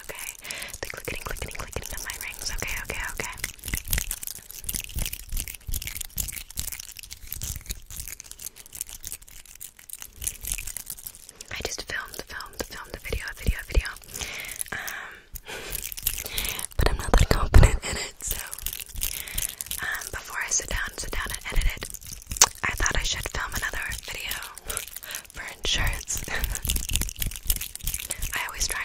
rings, okay? The clicking, clicking, clicking of my rings, okay, okay, okay. I just filmed, filmed, filmed a video, a video, a video. Um, but I'm not that confident in it, so. Um, before I sit down, sit down and edit it, I thought I should film another video for insurance. I always try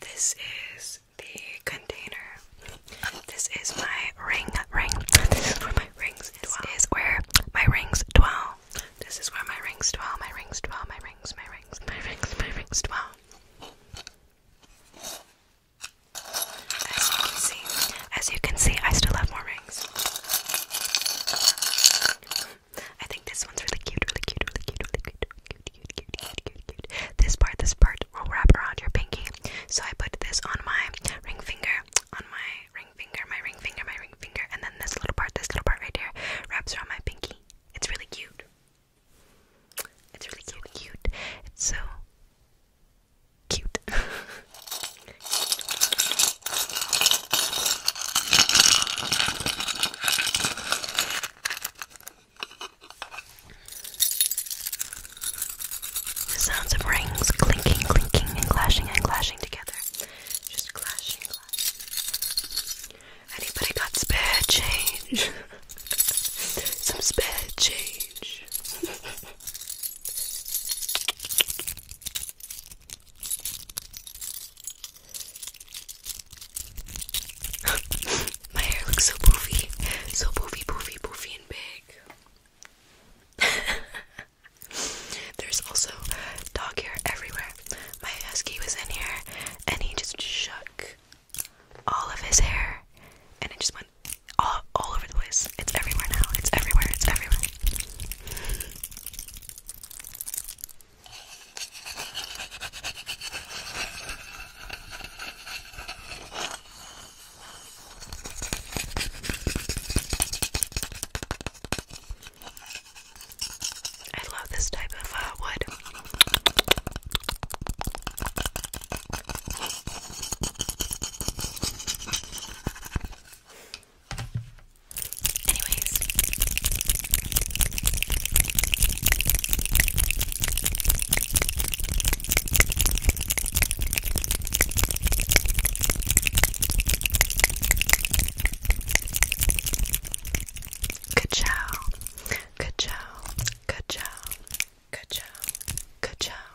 This is the container this is my ring, ring. This is where my rings dwell. This is where my rings dwell. This is where my rings dwell. My rings dwell. My rings. My rings. My rings. My rings dwell. As you can see, as you can see, I still have more rings. I think this one's really cute, really cute, really cute, really cute, cute, cute, cute, cute, cute, cute. This part, this part will wrap around your pinky so I put this on my ring finger, on my ring finger, my ring finger, my ring finger, and then this little part, this little part right here, wraps around my pinky. It's really cute. It's really cute, cute. It's so cute. The sounds of rings clinking, clinking, and clashing and clashing together. Anybody got spare change? Some spare change. My hair looks so poofy. So poofy, poofy, poofy, and big. There's also dog hair everywhere. My husky was in here and he just shook all of his hair and it just went all, all over the place. It's everywhere now. It's everywhere. It's everywhere. I love this type of uh, wood. Anyways, Good chow, good chow, good chow, good chow, good chow.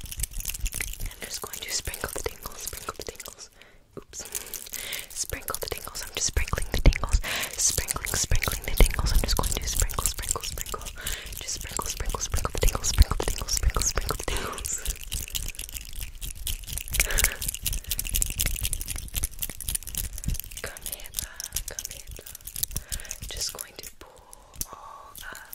I'm just going to sprinkle the tingles, sprinkle the tingles. Oops. Sprinkle the tingles. I'm just sprinkling the tingles. Sprinkling, sprinkling the tingles. I'm just going to sprinkle, sprinkle, sprinkle. Just sprinkle, sprinkle, sprinkle the tingles, sprinkle the tingles, sprinkle, sprinkle the tingles. Come hither, come hither. Just going to pull all of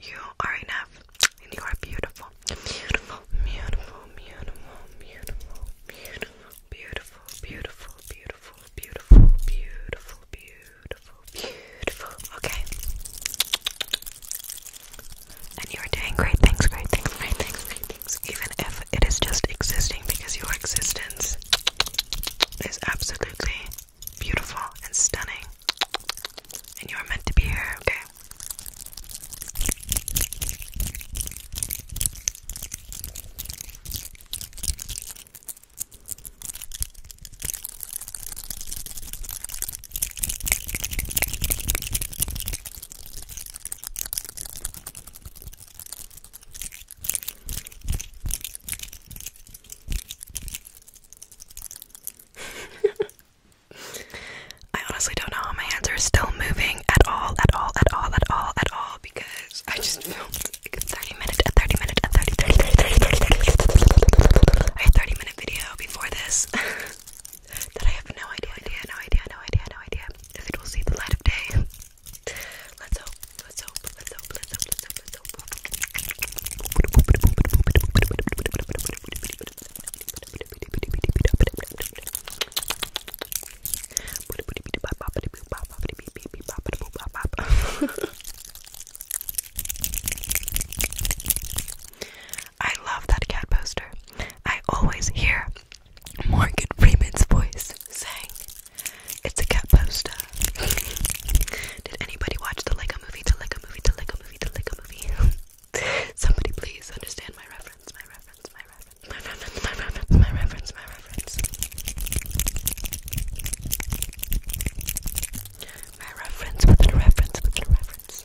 You are enough and you are beautiful. Beautiful, beautiful, beautiful, beautiful, beautiful, beautiful, beautiful, beautiful, beautiful, beautiful, beautiful, beautiful. Okay. And you are doing great things, great things, great things, great things. Even if it is just existing because your existence is absolutely beautiful and stunning. And you are meant to be here, okay? I honestly don't know how my hands are still moving at all, at all, at all, at all, at all, because I just filmed like a 30 minute, a 30 minute, a 30, minute video before this that I have no idea, idea, no idea, no idea, no idea if it will see the light of day. Let's hope. I love that cat poster. I always hear Morgan Freeman's voice saying, it's a cat poster. Did anybody watch the Lego movie? The Lego movie, the Lego movie, the Lego movie. Somebody please understand my reference, my reference, my reference, my reference, my reference, my reference, my reference. My reference within reference within reference.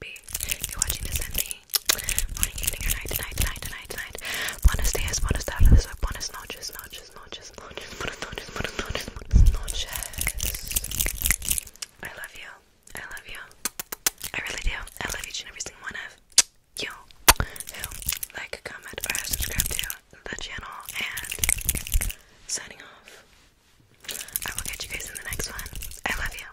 B, you're watching this, and me, morning, evening, or night, night, night, night, night. Buenos dias, buenas tardes, or buenas noches, noches, noches, noches, buenas noches, buenas noches, buenas I love you. I love you. I really do. I love each and every single one of you who like, comment, or subscribe to the channel. And signing off. I will catch you guys in the next one. I love you.